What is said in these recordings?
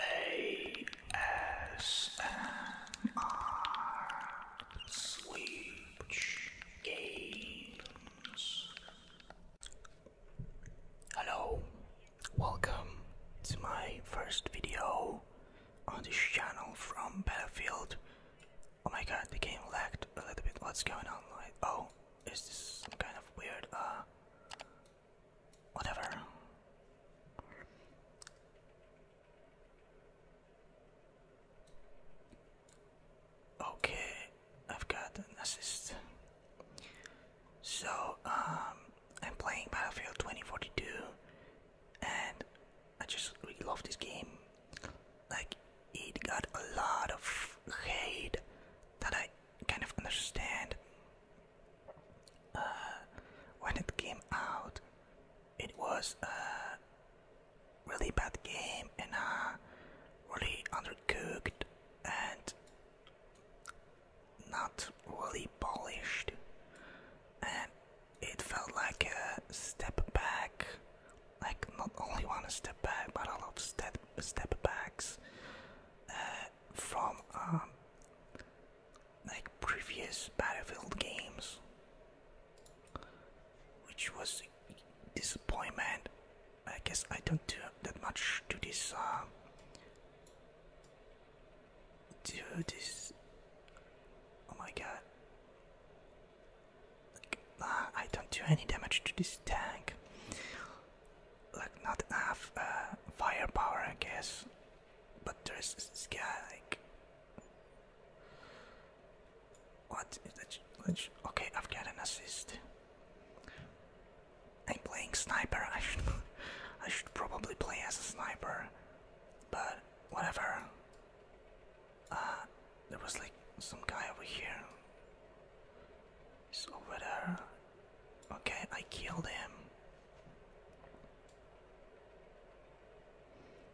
ASMR Switch Games. Hello, welcome to my first video on this channel from Battlefield. Oh my god, the game lagged a little bit. What's going on? Like, oh, is this some kind of weird uh whatever. Okay, I've got an assist. So, um, I'm playing Battlefield 2042 and I just really love this game. Like, it got a lot of hate that I kind of understand. Uh, when it came out, it was a really bad game and uh, really undercooked and not really polished, and it felt like a step back. Like not only one step back, but a lot of step step backs. Uh, from um, like previous Battlefield games, which was a disappointment. I guess I don't do that much to this uh, to this. Oh my god! Like, uh, I don't do any damage to this tank. Like not enough uh, firepower, I guess. But there's this guy like what is that? Okay, I've got an assist. I'm playing sniper. I should, I should probably play as a sniper, but whatever. Uh, there was like some guy over here. He's over there. Okay, I killed him.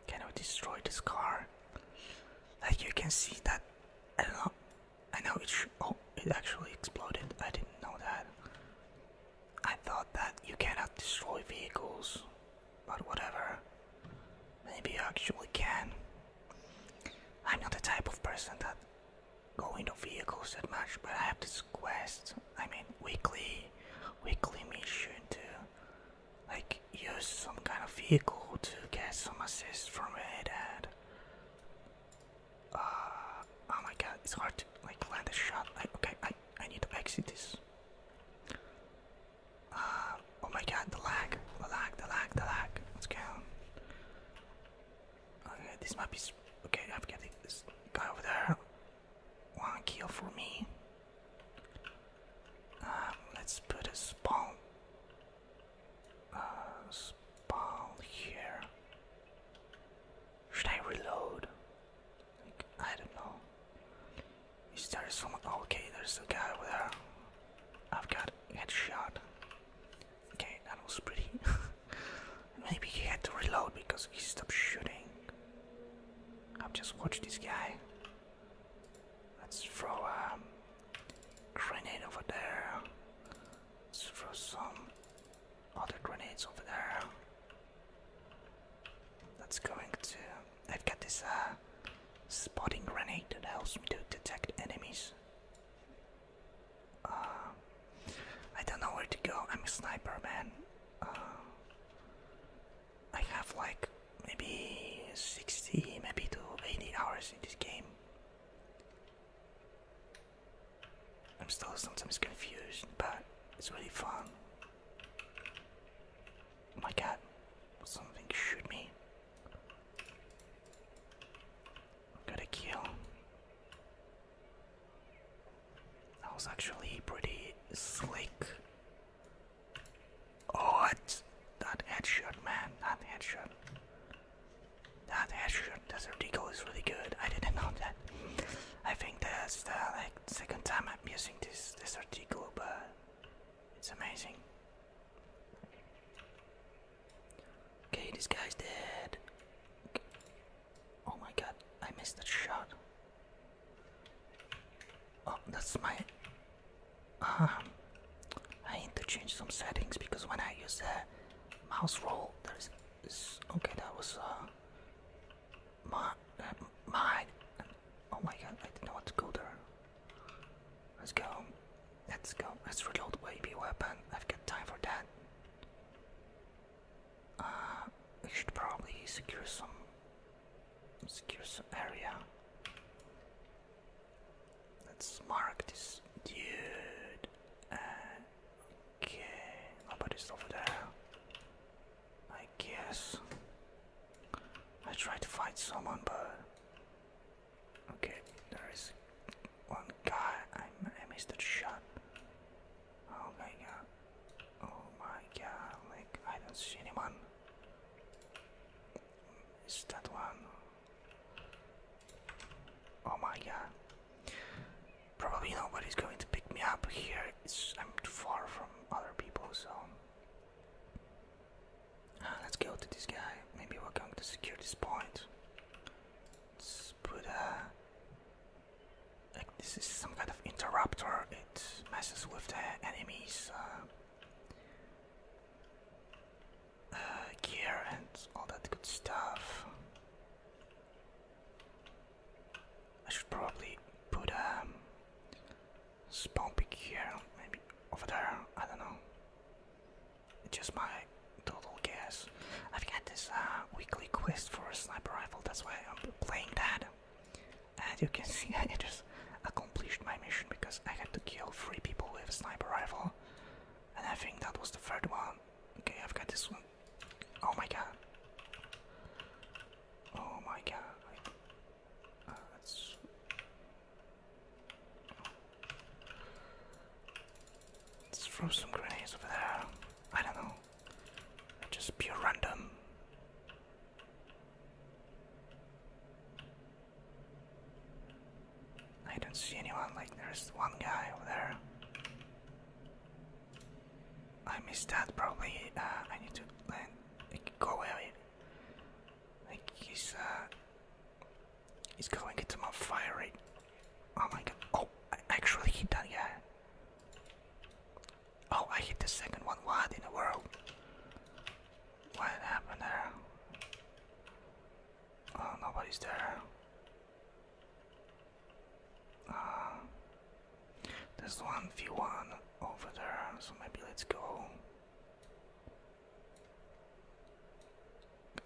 Can I destroy this car? Like you can see that I know. I know it. Oh, it actually exploded. I didn't know that. I thought that you cannot destroy vehicles, but whatever. Maybe you actually can. I'm not the type of person that go into vehicles that much, but I have this quest I mean, weekly, weekly mission to like use some kind of vehicle to get some assist from it. And uh, oh my god, it's hard like land a shot. I, okay, I I need to exit this. Uh, oh my god, the lag, the lag, the lag, the lag. Let's go. Okay, this might be. Okay, I'm getting this guy over there one kill for me. Um, let's put a spawn. Uh, spawn here. Should I reload? Like, I don't know. Is there someone? Okay, there's a guy there. I've got headshot. Okay, that was pretty. Maybe he had to reload because he stopped shooting. I'll just watch this guy. Let's throw a grenade over there. Let's throw some other grenades over there. That's going to. I've got this uh, spotting grenade that helps me to detect enemies. Uh, I don't know where to go. I'm a sniper, man. I have like maybe 60, maybe to 80 hours in this game. I'm still sometimes confused, but it's really fun. Oh my god, something shoot me. Gotta kill. That was actually pretty slick. Oh, it's that headshot, man. That headshot. That headshot. Desert Eagle is really good. I didn't know that. I think that's the like second time I'm using this Desert Eagle, but it's amazing. Okay, this guy's dead. Oh my god, I missed that shot. Oh, that's my. Um, I need to change some settings because when I use the mouse roll, there's. okay, that was. Uh, my. my. Um, oh my god, I didn't want to go there. Let's go. Let's go. Let's reload baby weapon. I've got time for that. Uh, we should probably secure some secure some area. Let's mark this dude. Uh, okay, nobody's over there. I guess I try to fight someone, but okay, there is one guy. I, I missed that shot. Oh my god. Oh my god, like I don't see anyone. Is that one? Oh my god. Probably nobody's going to pick me up here. I'm too far from other people, so ah, let's go to this guy. Maybe we're going to secure this point. Let's put a this is some kind of interrupter. It messes with the enemies. Uh, uh, gear and all that good stuff. I should probably put a um, spawn pick here, maybe over there. I don't know. It's just my total guess. I've got this uh, weekly quest for a sniper rifle, that's why I'm playing that. As uh, you can see, I just accomplished my mission because I had to kill three people with a sniper rifle. And I think that was the third one. Okay, I've got this one. Oh my god. Oh my god. Uh, that's... Let's throw some grenades over there. I don't know. Just pure random. I don't see anyone, like there's one guy over there. I missed that probably. Uh, I need to land. Like, go he's uh, he's going into my fire rate. Oh my god! Oh, I actually hit that guy. Oh, I hit the second one. What in the world? What happened there? Oh, nobody's there. Uh, there's one V1 over there, so maybe let's go.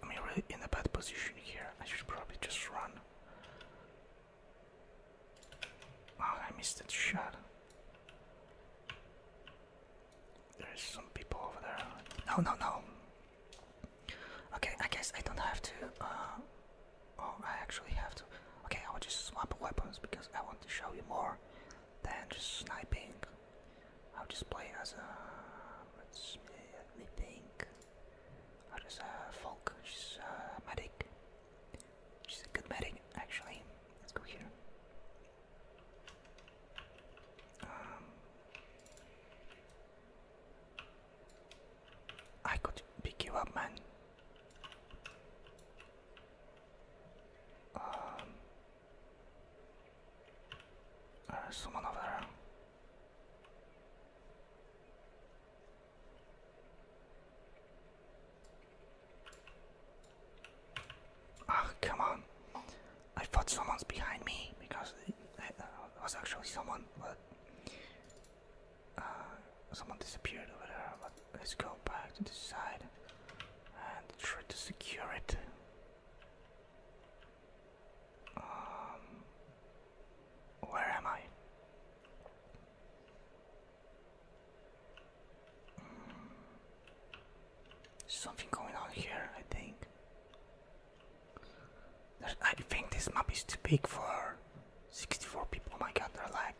I'm really in a bad position here. I should probably just run. Oh, I missed that shot. There's some people over there. No, no, no. Okay, I guess I don't have to. Uh, oh, I actually have to. Okay, I will just swap weapons because I want to show you more than just sniping. I'll just play as a. Let's think. I'll just uh, folk. a uh, medic. She's a good medic, actually. Let's go here. Um, I could pick you up, man. Um, uh, someone over Oh, come on. I thought someone was behind me because uh, it, was actually someone, but uh, someone disappeared over there. But let's go back to this side and try to secure it. Um, where am I? Something going on here, I think. I think this map is too big for 64 people. Oh my god, they're lag.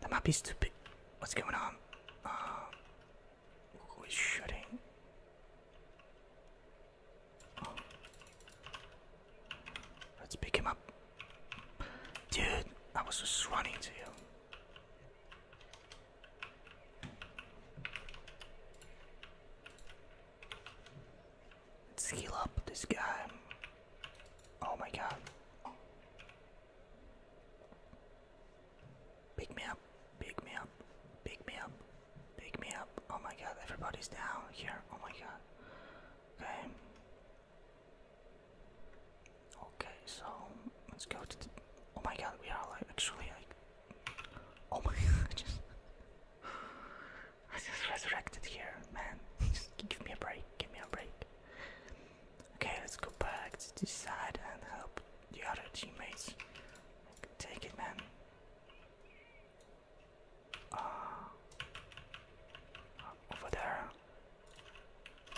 The map is too big. What's going on? Uh, who is shooting? Let's pick him up. Dude, I was just running to you. Let's heal up this guy. Oh my god. Pick me up, pick me up, pick me up, pick me up. Oh my god, everybody's down here. Oh my god. Okay. Okay, so let's go to the, oh my god, we are like actually like oh my god, I just I just resurrected here, man. Just give me a break, give me a break. Okay, let's go back to this and help the other teammates. Take it, man uh, over there.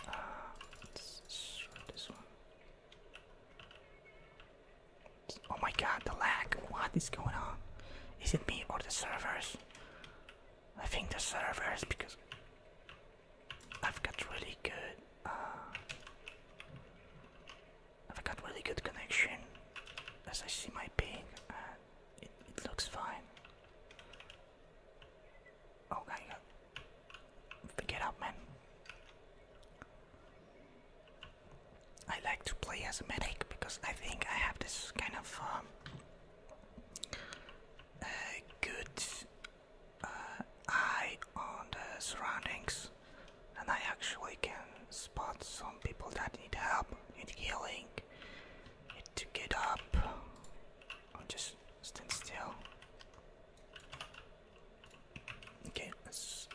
Uh, let's this one. Oh my god, the lag! What is going on? Is it me or the servers? I think the servers because I've got really good. Uh, I've got really good connection as I see my ping and uh, it looks fine. Oh, there up, man. I like to play as a medic because I think I have this kind of um, good uh, eye on the surroundings, and I actually can spot some people that need help, need healing, Need to get up. i just stand still. Okay, let's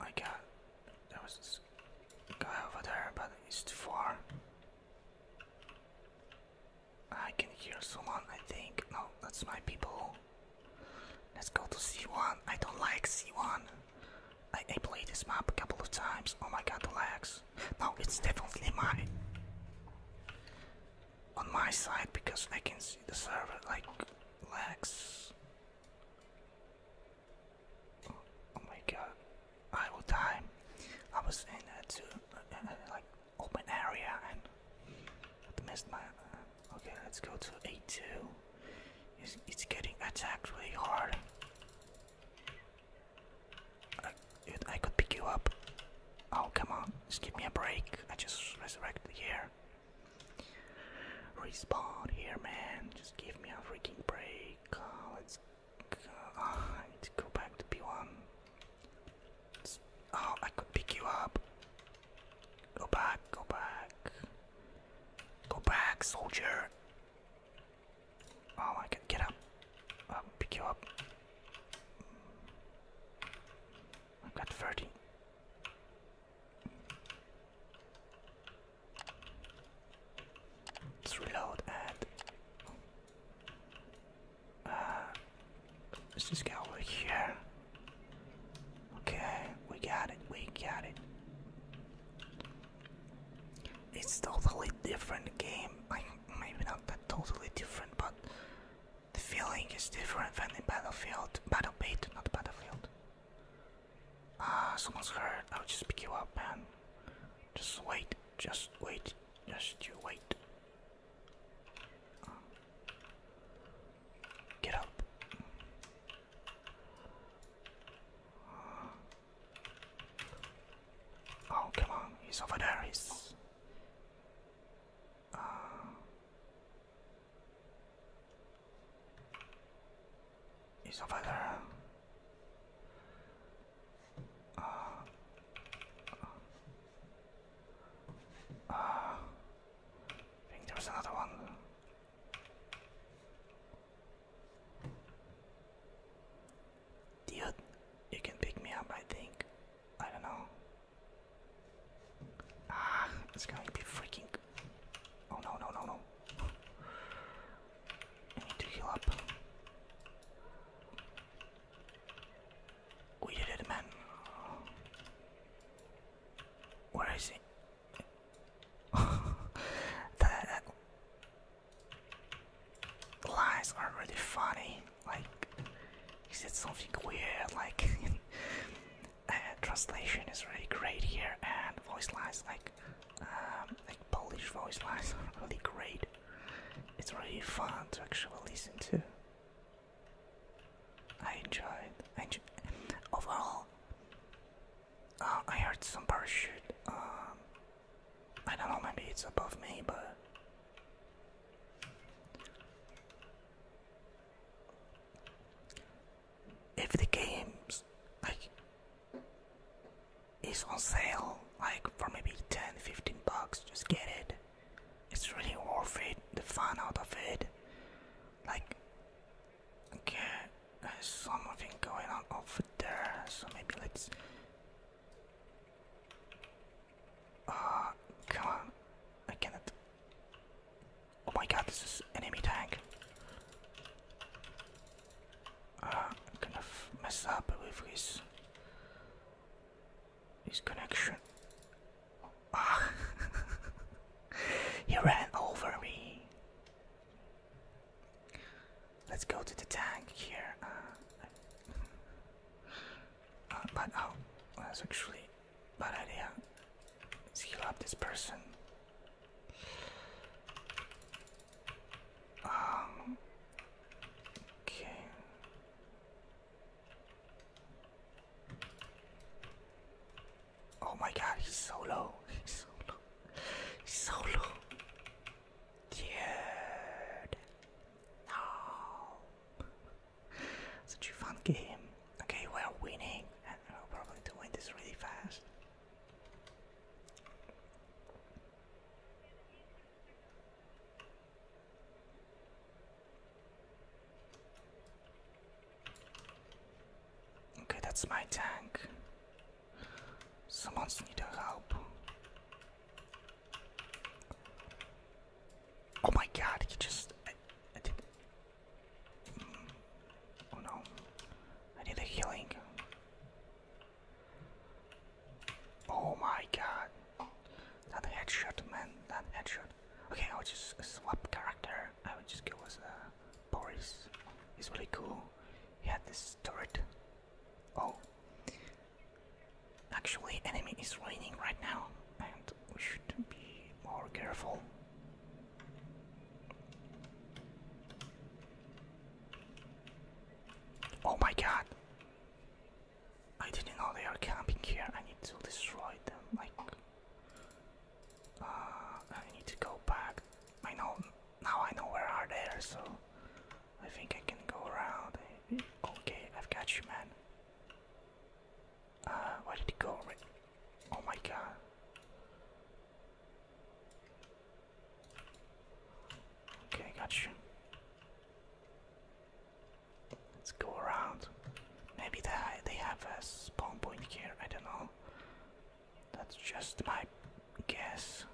I got there was this guy over there, but it's too far. I can hear someone, I think. No, that's my people. Let's go to C1. I don't like C1. I, I played this map a couple of times. Oh my god, the lags! No, it's definitely mine. On my side because I can see the server like lags. Oh, oh my god, I will die. I was in uh, too. Uh, like open area and I missed my. Uh, okay, let's go to A2. It's, it's getting attacked really hard. I, could pick you up. Oh, come on, just give me a break. I just resurrected here. Respawn here, man. Just give me a freaking break. Uh, let's ah, go. back to B1. oh, I could pick you up. Go back, go back. Go back, soldier. Oh, I can get up. I'll pick you up. i got 30. reload and. Uh, Let's just go over here. Okay, we got it, we got it. It's totally different game. Like maybe not that totally different, but the feeling is different than the Battlefield. Battle Beat, not Battlefield. Ah, someone's hurt. I'll just pick you up, man. Just wait, just wait, just you wait. Get up. Oh, come on. He's over there. He's. Uh, he's over there. Uh, uh, I think there was another one. Dude, you can pick me up, I think. I don't know. Ah, it's going to be freaking. Oh no, no, no, no. need to heal up. We did it, man. Where is he? that lies are really funny. Like, he said something weird. Like, uh, translation is really great here, and voice lines, like, um, like Polish voice lines, really great. It's really fun to actually listen to. I enjoyed. I enjoyed. Overall, uh, I heard some parachute. Um, I don't know. Maybe it's above me, but if the games like is on sale, like for maybe 10, 15 bucks, just get it. It's really worth it. The fun out of it like okay there's something going on over there so maybe let's uh come on I cannot oh my god this is enemy tank uh, I'm going mess up with his his connection he ran over me. Let's go to the tank here. Uh, uh, but oh, that's actually a bad idea. heal up this person. Um, okay. Oh my god, he's so low. He's so low. He's so low. Dude. No. Such a fun game. Okay, we are winning. And we're probably to win this really fast. Okay, that's my tank. Someone's need help. Oh my god, he just I, I mm, Oh no. I need a healing. Oh my god. That headshot man, that headshot. Okay, I'll just swap character. I will just go as uh, Boris. He's really cool. He had this turret. Oh, actually, enemy is raining right now, and we should be more careful. Oh my god! I didn't know they are camping here. I need to destroy them. Like, uh, I need to go back. I know now. I know where are there, so I think I can go around. Okay, I've got you, man. Uh, where did he go? Oh my god. Okay, got you. Let's go around. Maybe they have a spawn point here, I don't know. That's just my guess.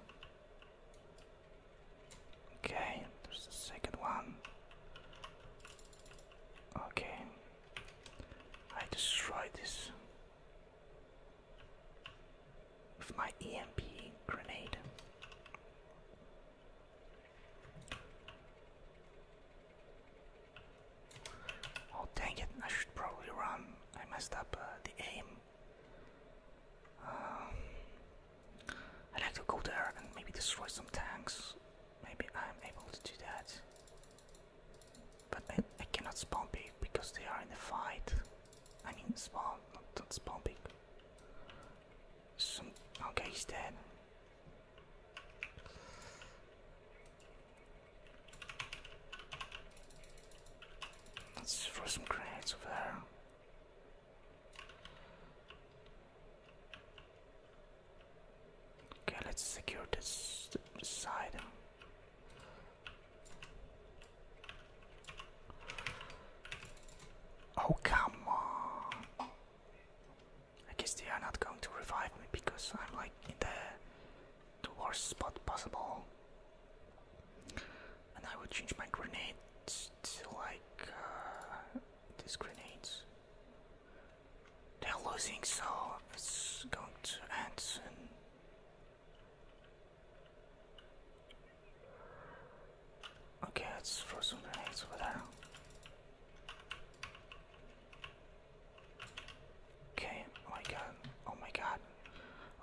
Okay, there's the second one. Okay, I destroyed this with my EMP grenade. Oh dang it, I should probably run. I messed up uh, the aim. Um, I'd like to go there and maybe destroy some tanks. Maybe I'm able to do that. But I, cannot spawn big because they are in the fight. I need to spawn, not, not spawn big. Some, okay, he's dead. Let's throw some grenades over there. Okay, let's secure this, this side. Oh, come on. I guess they are not going to revive me because I'm like in the, worst spot possible. And I will change my grenades to like uh, these grenades. They're losing, so it's going to end soon. Okay, it's some grenades over there. Okay, oh my god, oh my god.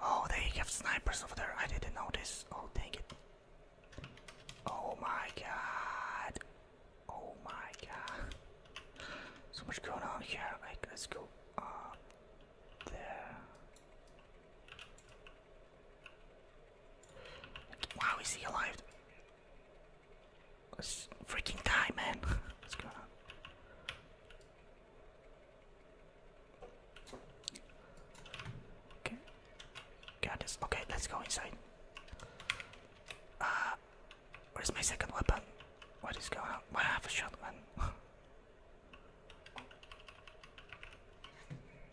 Oh, they have snipers over there. I didn't notice. Oh, dang it. Oh my god. Oh my god. So much going on here. Like, let's go up there. Wow, is he alive? freaking time, man. What's going on? Okay. Got Okay, let's go inside. Uh, where's my second weapon? What is going on? Why I have a shotgun? uh,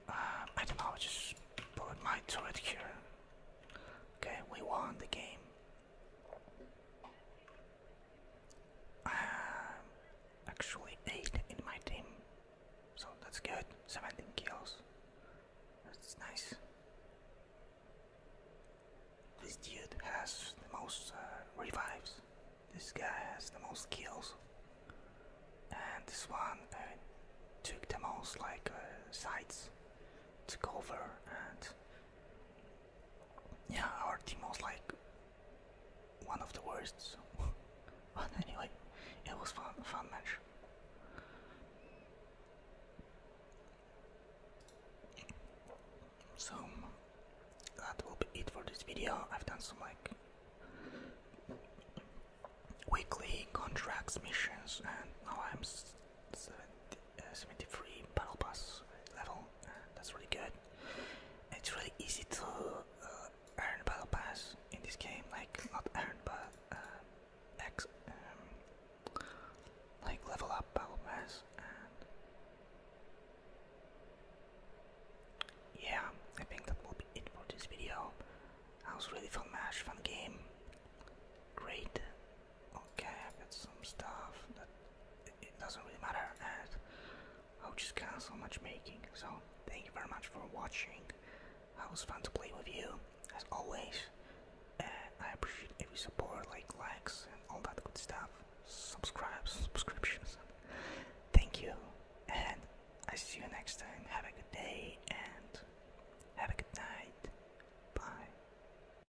I don't know. Just put my turret here. Okay, we won the game. Um, actually, 8 in my team, so that's good. 17 kills. That's nice. This dude has the most uh, revives. This guy has the most kills. And this one uh, took the most like uh, sites to cover and yeah, our team was like one of the worst. So. but anyway, it was fun, fun match. So that will be it for this video. I've done some like weekly contracts missions, and now I'm 70, 73 battle pass level. that's really good. It's really easy to uh, earn battle pass in this game. Like not earn, but uh, X, um, like level up battle pass. yeah, I think that will be it for this video. That was really fun match, fun game. Great okay, I have got some stuff that it, doesn't really matter, and I'll oh, just cancel matchmaking. So, thank you very much for watching. It was fun to play with you, as always. And I appreciate every support, like likes and all that good stuff, subscribes, subscriptions. Thank you, and I see you next time. Have a good day and have a good night. Bye.